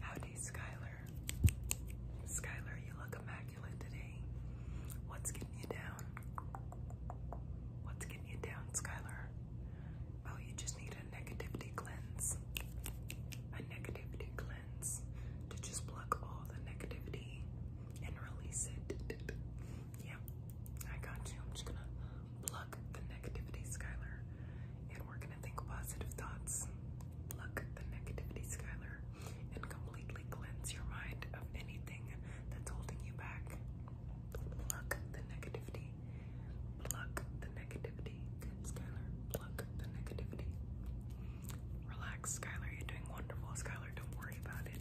Howdy, Skylar. Skylar, you look immaculate today. What's getting you down? What's getting you down, Skylar? Oh, you just need a negativity cleanse. A negativity cleanse to just pluck all the negativity and release it yeah, I got you. I'm just gonna pluck the negativity, Skylar, and we're gonna think positive thoughts. Pluck the negativity, Skylar, and completely cleanse your mind of anything that's holding you back. Pluck the negativity. Pluck the negativity, Skylar. Pluck the negativity. Relax, Skylar. You're doing wonderful, Skylar don't worry about it.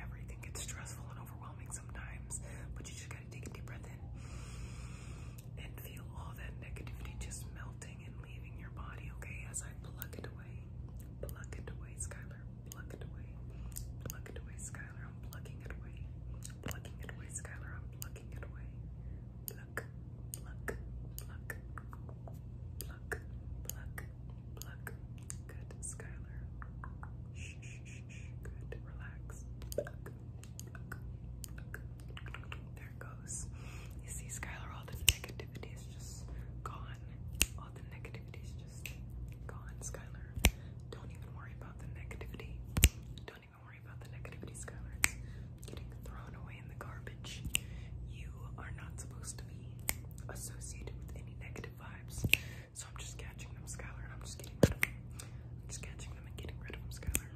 Everything gets stressful and overwhelming sometimes, but you just gotta take a deep breath in and feel all that negativity just melting and leaving your body, okay? As I pluck it away, pluck it away, Skylar, pluck it away, pluck it away, Skylar, I'm plucking it away, plucking it away, Skylar, I'm plucking it away. pluck, pluck, pluck, pluck, pluck, Good, Skylar. Shh, shh, shh, Good, relax. There it goes. You see, Skylar, all the negativity is just gone. All the negativity is just gone, Skylar. Don't even worry about the negativity. Don't even worry about the negativity, Skylar getting thrown away in the garbage. You are not supposed to be associated with any negative vibes. So I'm just catching them, Skylar, I'm just getting rid of them. I'm just catching them and getting rid of them, Skylar.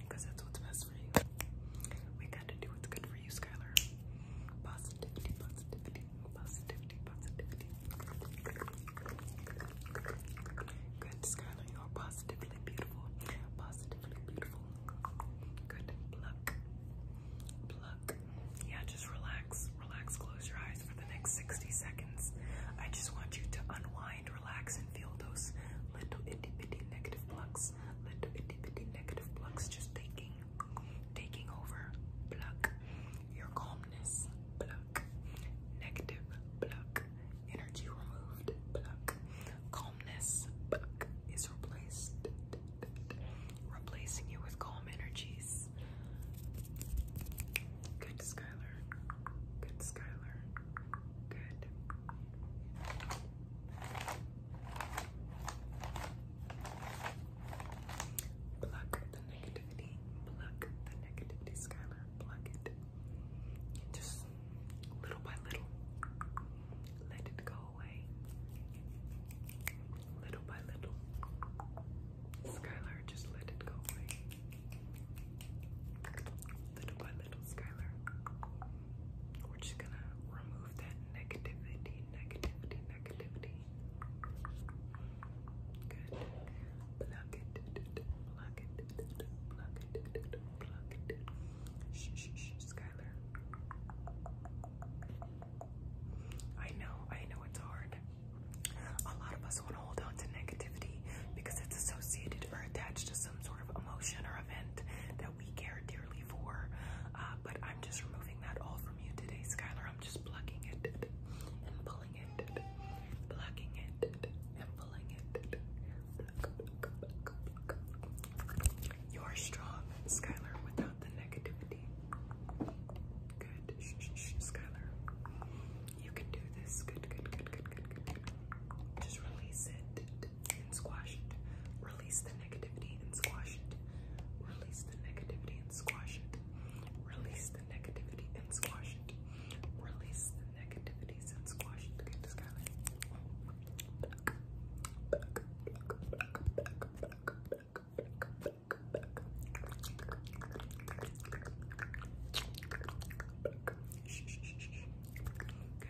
Because that's what's best for you. We got to do what's good for you, Skylar. Positivity, positivity, positivity, positivity. Good, Skylar, you are positively beautiful. Positive yeah, just relax. Relax. Close your eyes for the next 60 seconds. I just want you to unwind, relax, and feel those little itty bitty negative plucks. Little itty negative plucks just taking taking over. Pluck. Your calmness. Block Negative. Block energy removed, calmness, is replaced, replacing you with calm energies. Good, Skylar. Good, Skylar. Good. Pluck the negativity. Pluck the negativity, Skylar. Pluck it. Just little by little, let it go away. Little by little. Skylar, just let it go away. Little by little, Skylar. We're just gonna remove that negativity, negativity, negativity. Good. Pluck it. Pluck it. Pluck it. Pluck it. Shh, shh, shh, Skylar. I know, I know it's hard. A lot of us want to hold on to negativity because it's associated or attached to some sort of emotion or event that we care dearly for. Uh, but I'm just removing that all from you today, Skylar. I'm just plugging it and pulling it, plugging it and pulling it. You are strong, Skylar, without the negativity. Good, Skylar. You can do this. good, good, good, good, good. Just release it and squash it. Release the negativity and squash it. Release the negativity and squash it. Release the negativity and squash it. Release the negativities and squash it.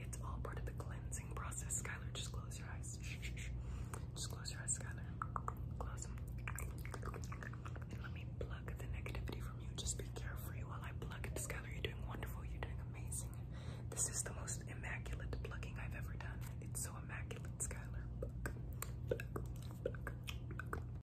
It's all part of the cleansing process. Skylar, just close your eyes. Just close your eyes, Skylar. Close them. let me plug the negativity from you. Just be carefree while I plug it. Skylar, you're doing wonderful. You're doing amazing. This is the most immaculate plugging I've ever done. It's so immaculate, Skylar.